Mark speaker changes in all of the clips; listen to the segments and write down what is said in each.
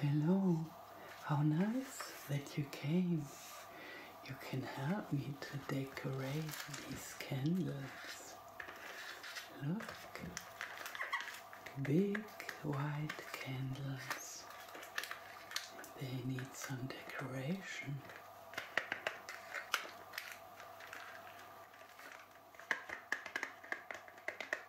Speaker 1: Hello, how nice that you came. You can help me to decorate these candles. Look, big white candles. They need some decoration.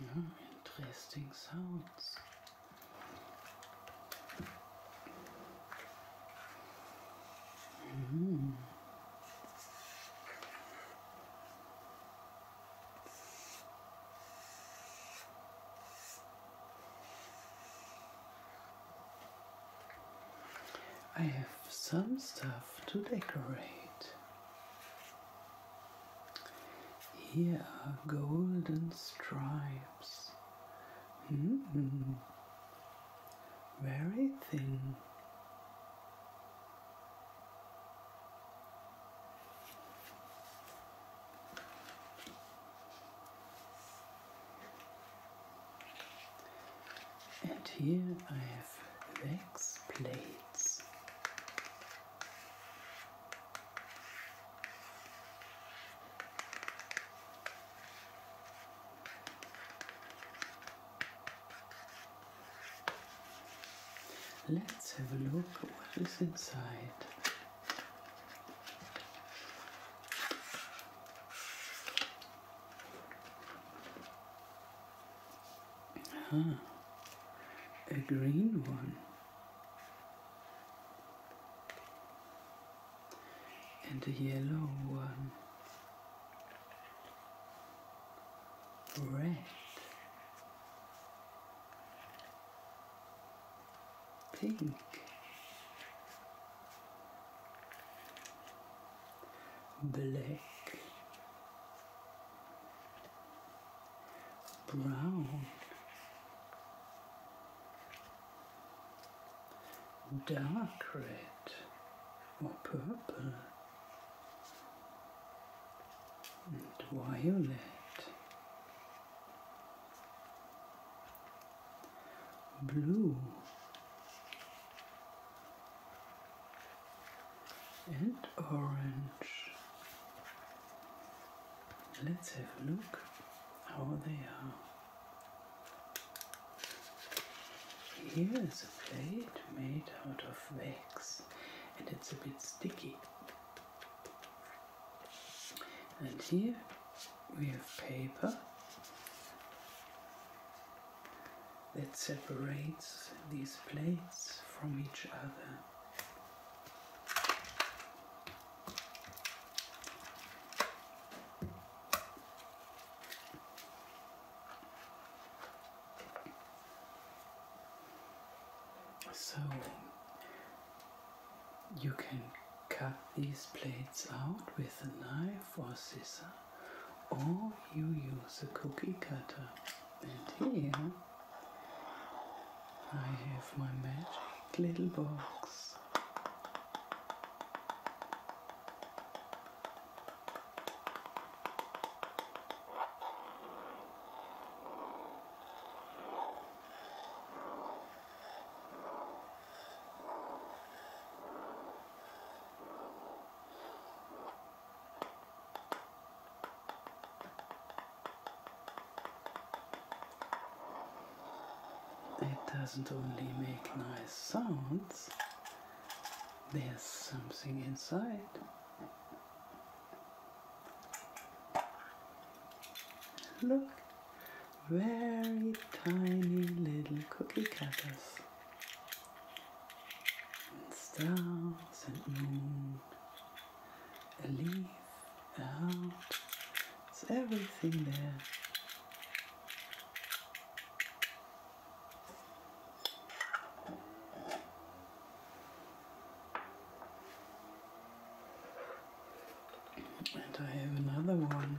Speaker 1: Yeah, interesting sounds. Mm. I have some stuff to decorate. Here are golden stripes. -hmm. Very thin. And here I have wax plates. Let's have a look what is inside. Huh. A green one. And a yellow one. Red. Pink black, brown, dark red or purple, and violet, blue and orange. Let's have a look how they are. Here is a plate made out of wax and it's a bit sticky. And here we have paper that separates these plates from each other. So you can cut these plates out with a knife or scissors or you use a cookie cutter. And here I have my magic little box. It doesn't only make nice sounds, there's something inside. Look, very tiny little cookie cutters and stars and moon, a leaf, a heart, it's everything there. And I have another one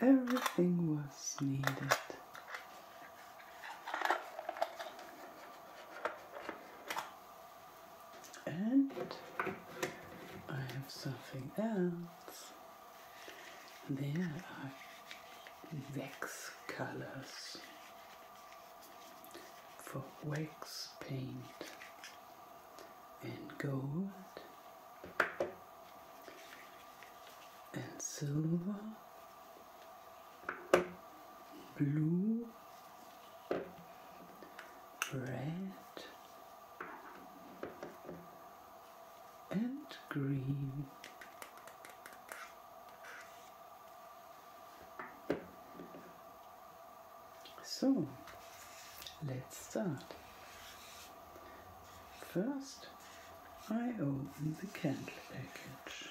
Speaker 1: Everything was needed. And I have something else. There are wax colors for wax paint and gold and silver, blue, red, and green. So let's start. First, I open the candle package.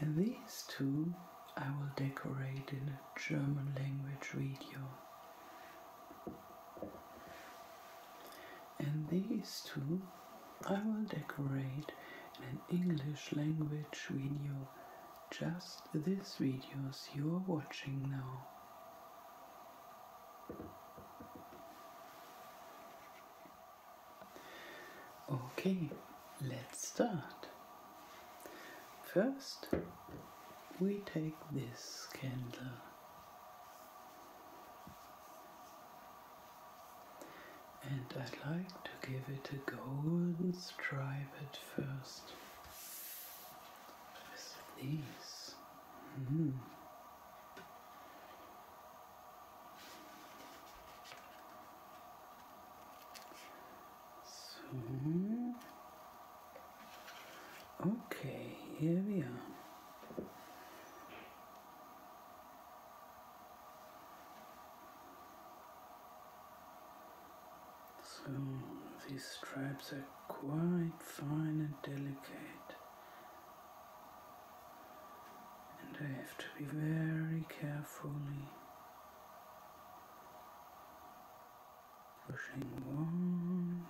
Speaker 1: And these two I will decorate in a German language video and these two I will decorate in an English language video, just these videos you are watching now. Okay, let's start. First, we take this candle and I'd like to give it a golden stripe at first with hmm. So, okay, here we are. So these stripes are quite fine and delicate, and I have to be very carefully pushing one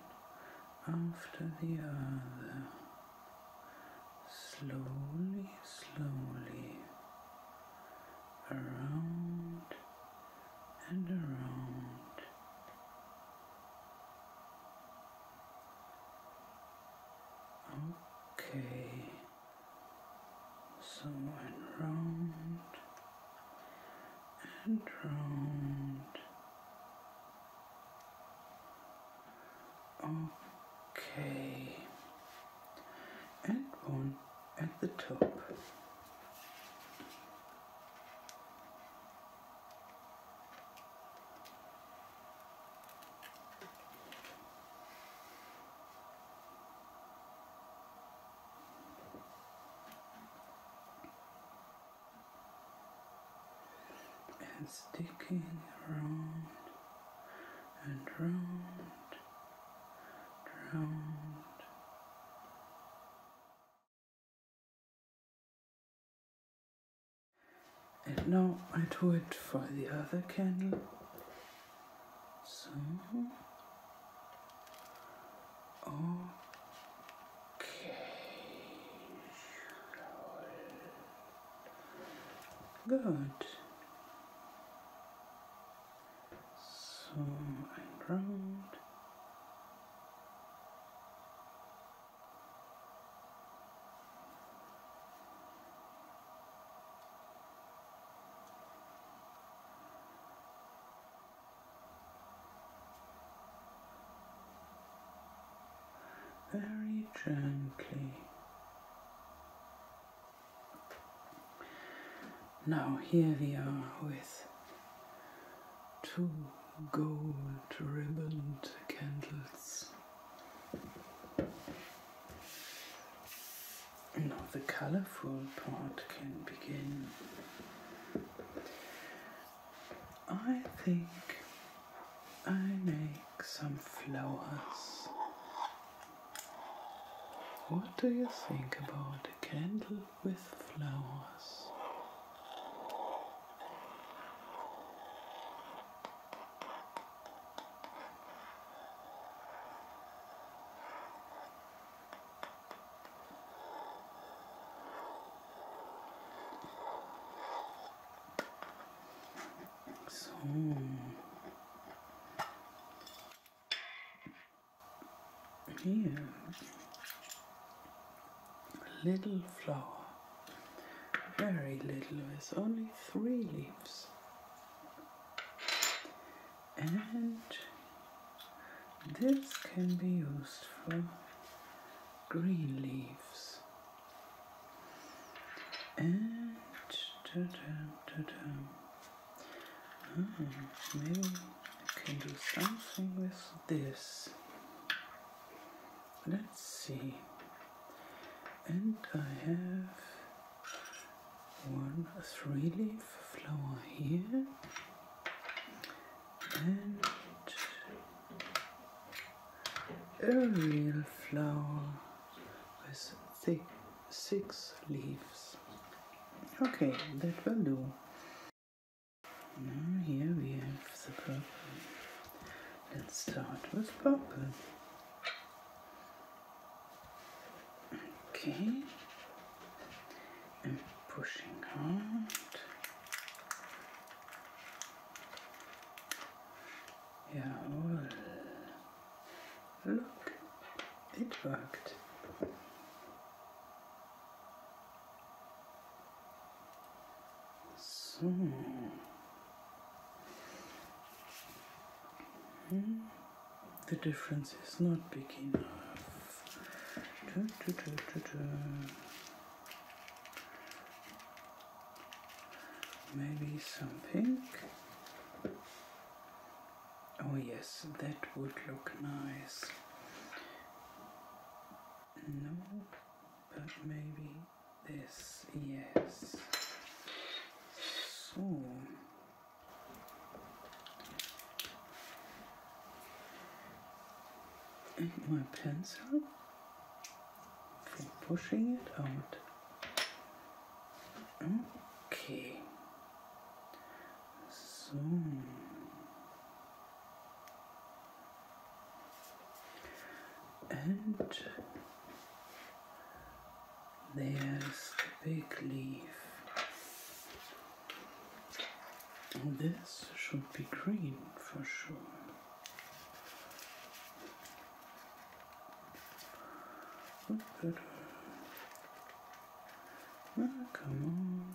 Speaker 1: after the other slowly, slowly around and around. Okay, so and round and round Okay, and one at the top. and sticking around and round, round. And now I do it for the other candle. So, okay. Good. So and Very gently now, here we are with two gold ribboned candles. Now, the colorful part can begin. I think I may some flowers. What do you think about a candle with flowers? So. Here, little flower, very little, with only three leaves, and this can be used for green leaves and maybe I can do something with this. Let's see. And I have one three leaf flower here and a real flower with six leaves. Okay, that will do. Now here we have the purple. Let's start with purple. Okay, I'm pushing out. Yeah, Look, it worked. So. Hmm. The difference is not big enough. Maybe some pink. Oh yes, that would look nice. No, but maybe this, yes. So... my pencil pushing it out. Okay. So. And there's the big leaf. This should be green for sure come on.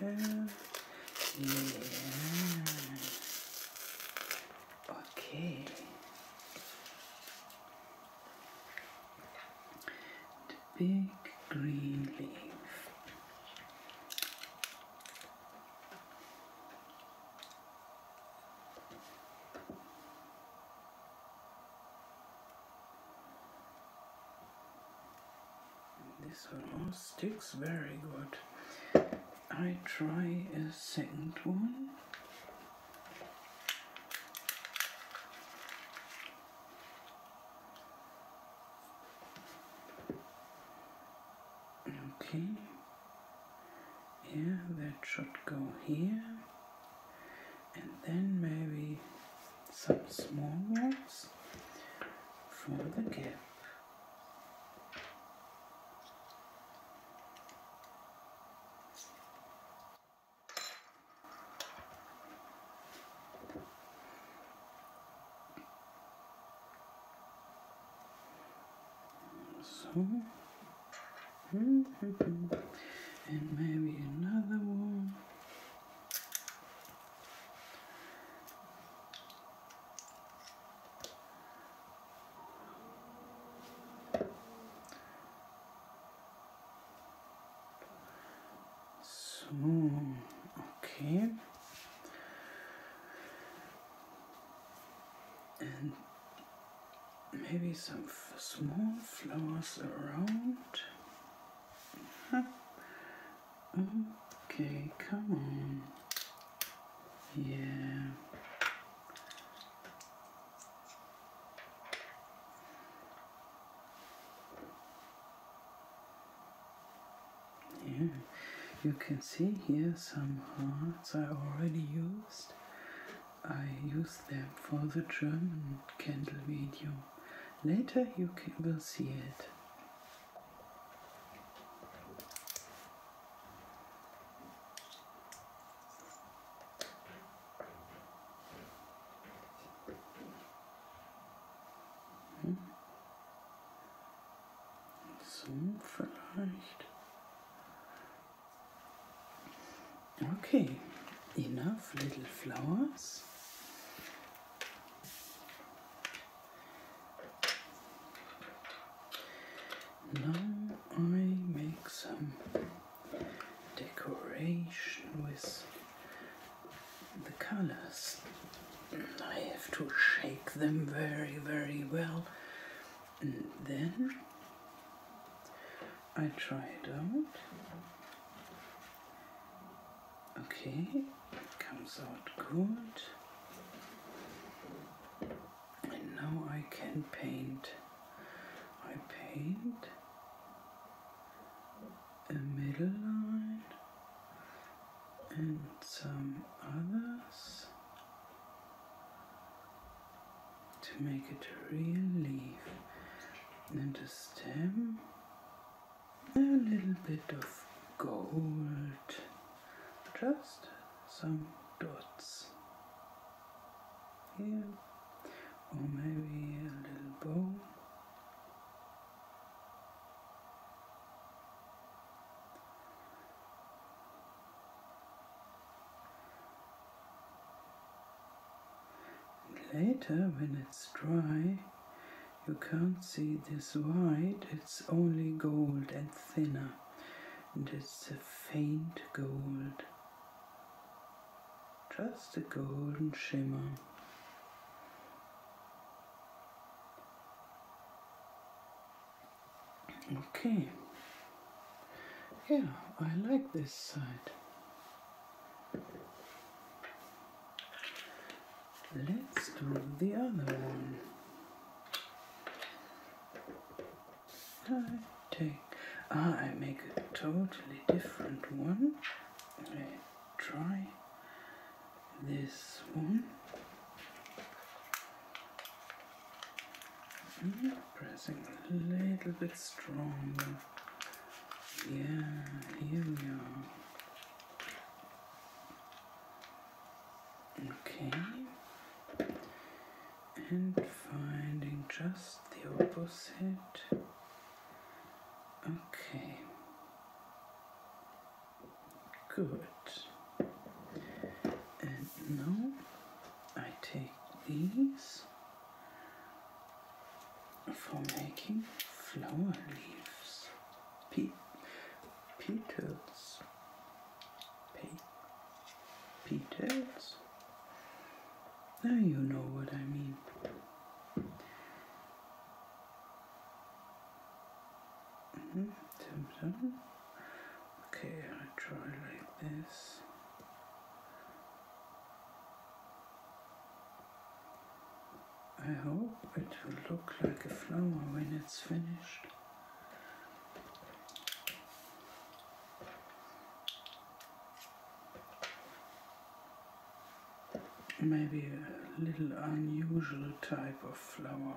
Speaker 1: Yeah. Yeah. Okay. The big green leaf. This one sticks very good. I try a second one. Okay. Yeah, that should go here. And then maybe some small rocks for the gap. So and maybe another one. So, okay. And maybe some small flowers around. okay, come on. Yeah. Yeah, you can see here some hearts I already used I use them for the German candle video. Later you will see it. Hm. So Okay, enough little flowers. Now I make some decoration with the colors. I have to shake them very, very well and then I try it out. Okay, it comes out good. And now I can paint. I paint a middle line and some others to make it a real leaf and a stem a little bit of gold just some dots here or maybe a little bow Later, when it's dry, you can't see this white, it's only gold and thinner, and it's a faint gold, just a golden shimmer. Okay, yeah, I like this side. Let's do the other one. I take, ah, I make a totally different one. I try this one pressing a little bit stronger. Yeah, here we are. Okay. And finding just the opposite. Okay. Good. And now I take these for making flower leaves, petals, petals. Now you know what I mean. Mm -hmm. Okay, I try like this. I hope it will look like a flower when it's finished. Maybe a little unusual type of flower.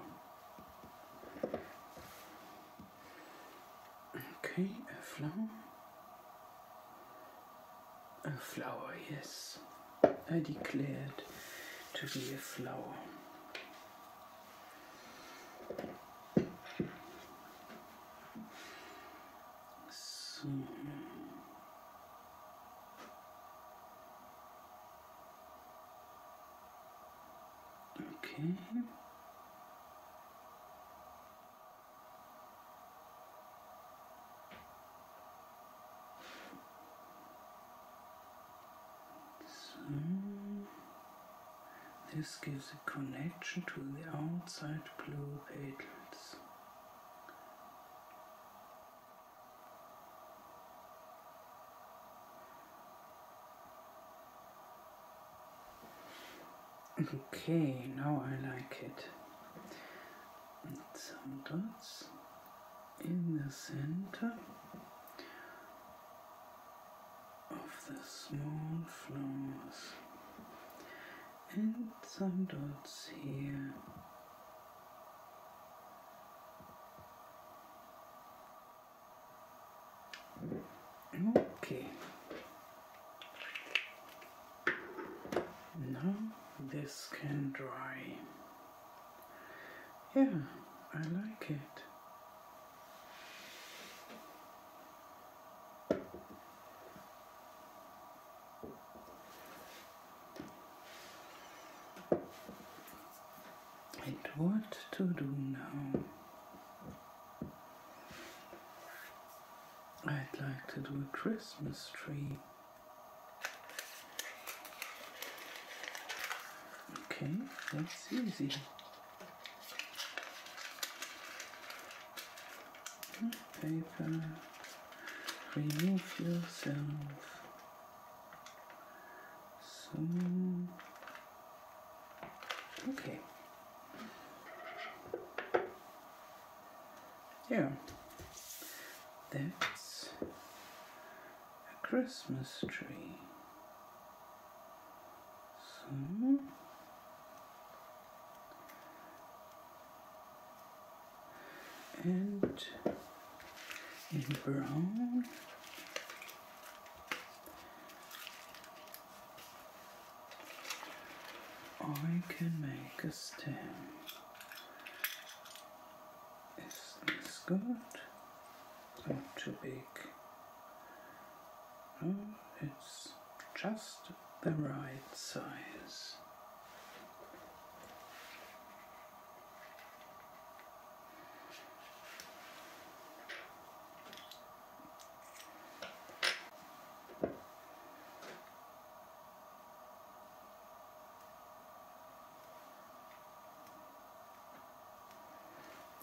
Speaker 1: Okay, a flower. A flower, yes. I declared to be a flower. So Okay. So, this gives a connection to the outside blue petals. Okay, now I like it. some dots in the center of the small flowers. And some dots here okay now this can dry yeah I like it and what to do now I'd like to do a Christmas tree. Okay, that's easy. Paper, remove yourself. So, okay, yeah, that's a Christmas tree. So, hmm. and in brown I can make a stem. Is this good? Not too big. No, oh, it's just the right size.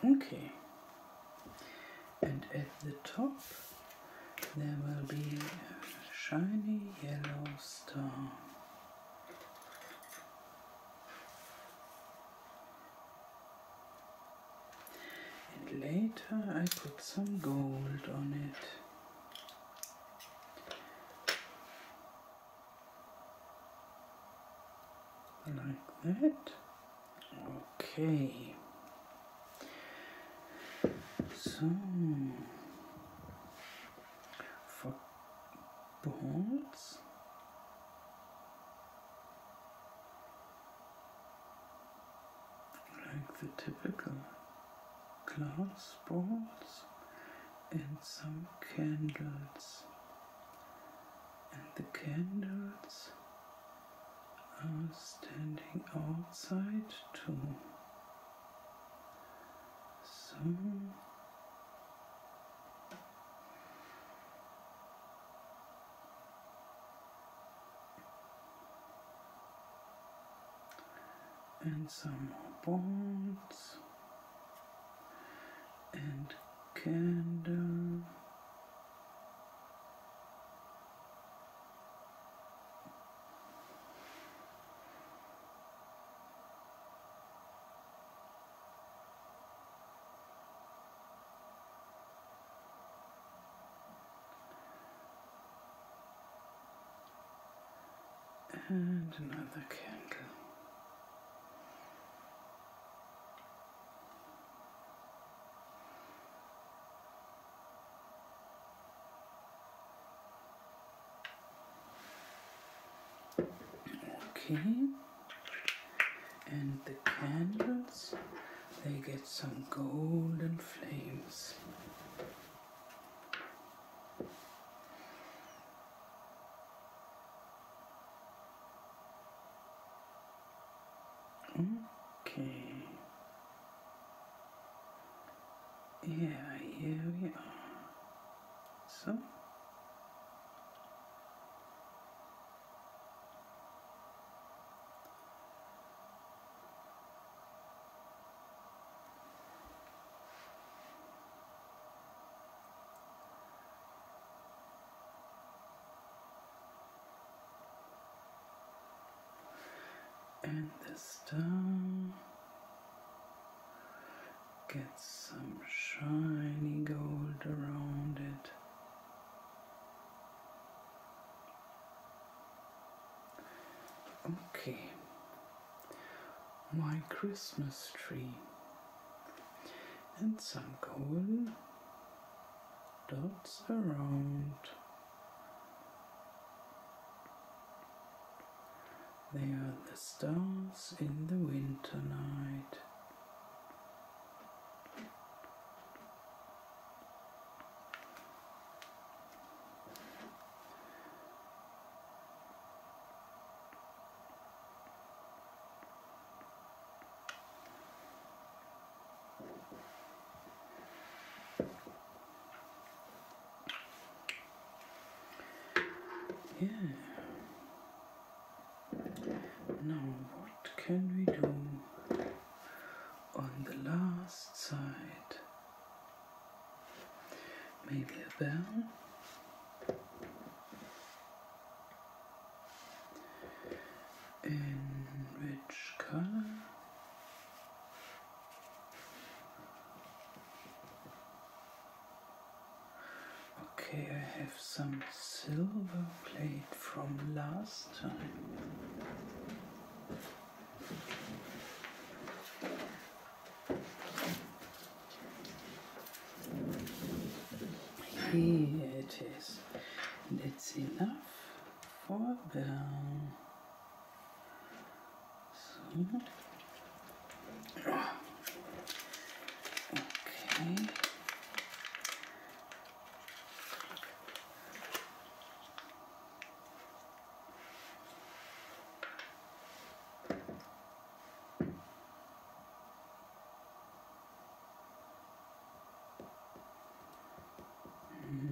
Speaker 1: Okay, and at the top there will be a shiny yellow star and later I put some gold on it. Like that. Okay. So for bolts like the typical glass balls and some candles. And the candles are standing outside too. So and some more bones and candle and another candle. Okay, and the candles they get some golden flames. Okay. Yeah, here we So and this down gets some shiny gold around it. Okay, my Christmas tree and some golden dots around. They are the stars in the winter night. Yeah. Now, what can we do on the last side. Maybe a bell. In which color? Okay, I have some silver plate from last time. Here it is. That's enough for now. Okay.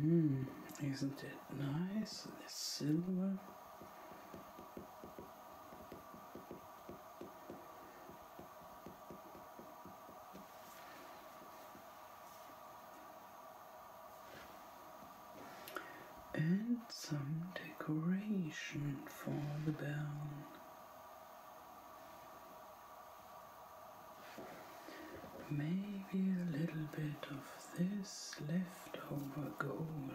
Speaker 1: Mm, isn't it nice? The silver. And some decoration for the bell. Maybe a little bit of this leftover gold.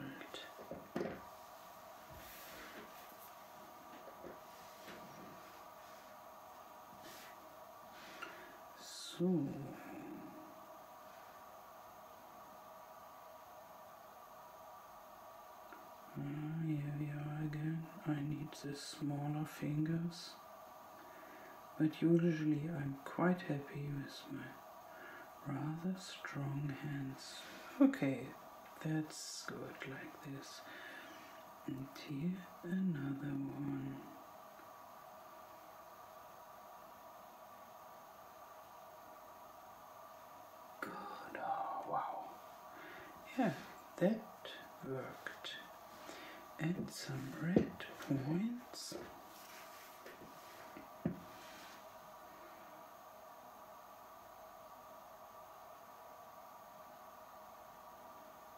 Speaker 1: So. Ah, here we are again. I need the smaller fingers. But usually I'm quite happy with my rather strong hands. Okay, that's good like this. And here another one. Good. Oh, wow. Yeah, that worked. And some red points.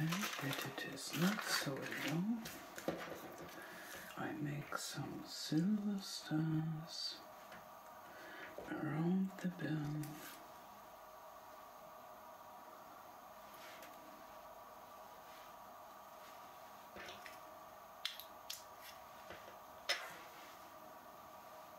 Speaker 1: And it is not so alone, I make some silver stars around the bell.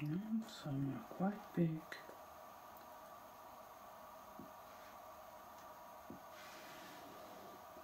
Speaker 1: and some are quite big.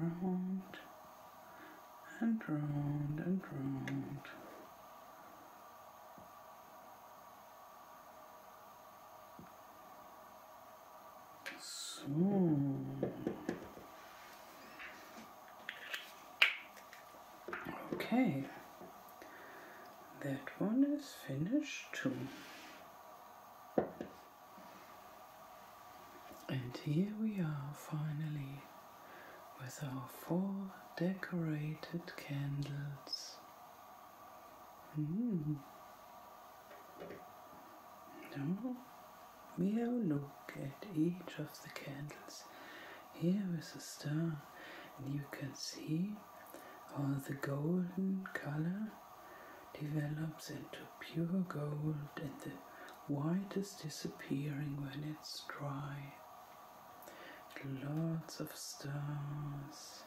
Speaker 1: And round and round and round. So. Okay, that one is finished too. And here we are finally with our four decorated candles. Hmm. Now we'll look at each of the candles. Here is a star, and you can see all the golden color develops into pure gold and the white is disappearing when it's dry. Lots of stars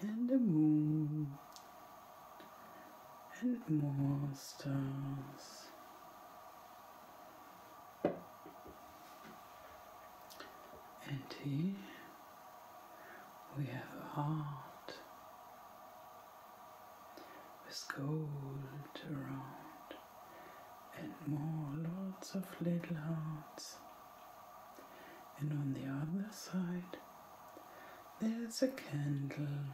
Speaker 1: and the moon and more stars. And here we have a heart with gold around and more lots of little hearts. And on the other side, there's a candle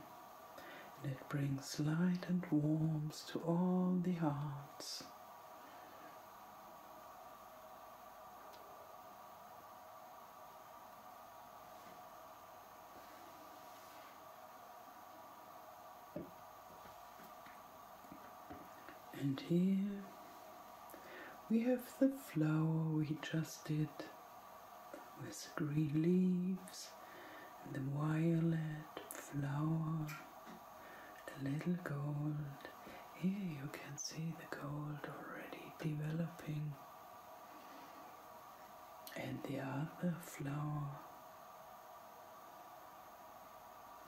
Speaker 1: and it brings light and warmth to all the hearts. And here we have the flower we just did with green leaves and the violet flower, the little gold. Here you can see the gold already developing and the other flower,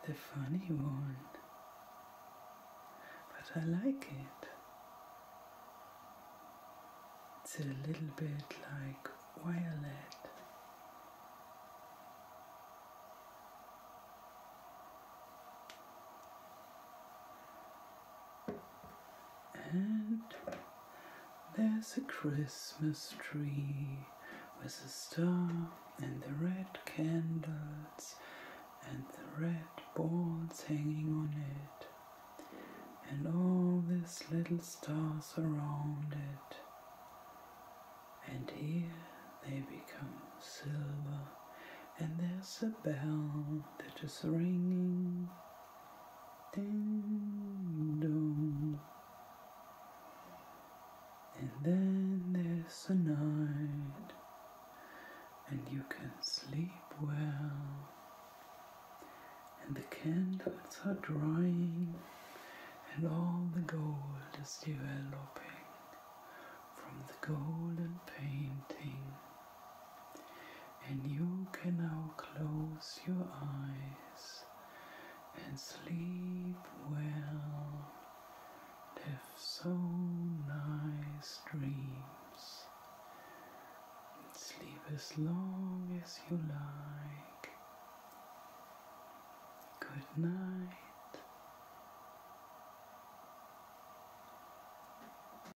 Speaker 1: the funny one, but I like it. It's a little bit like violet. And there's a Christmas tree with a star and the red candles and the red balls hanging on it, and all these little stars around it. And here they become silver, and there's a bell that is ringing and then there's the night, and you can sleep well. And the candles are drying, and all the gold is developing from the golden painting. And you can now close your eyes and sleep well. Have so nice dreams. Sleep as long as you like. Good night.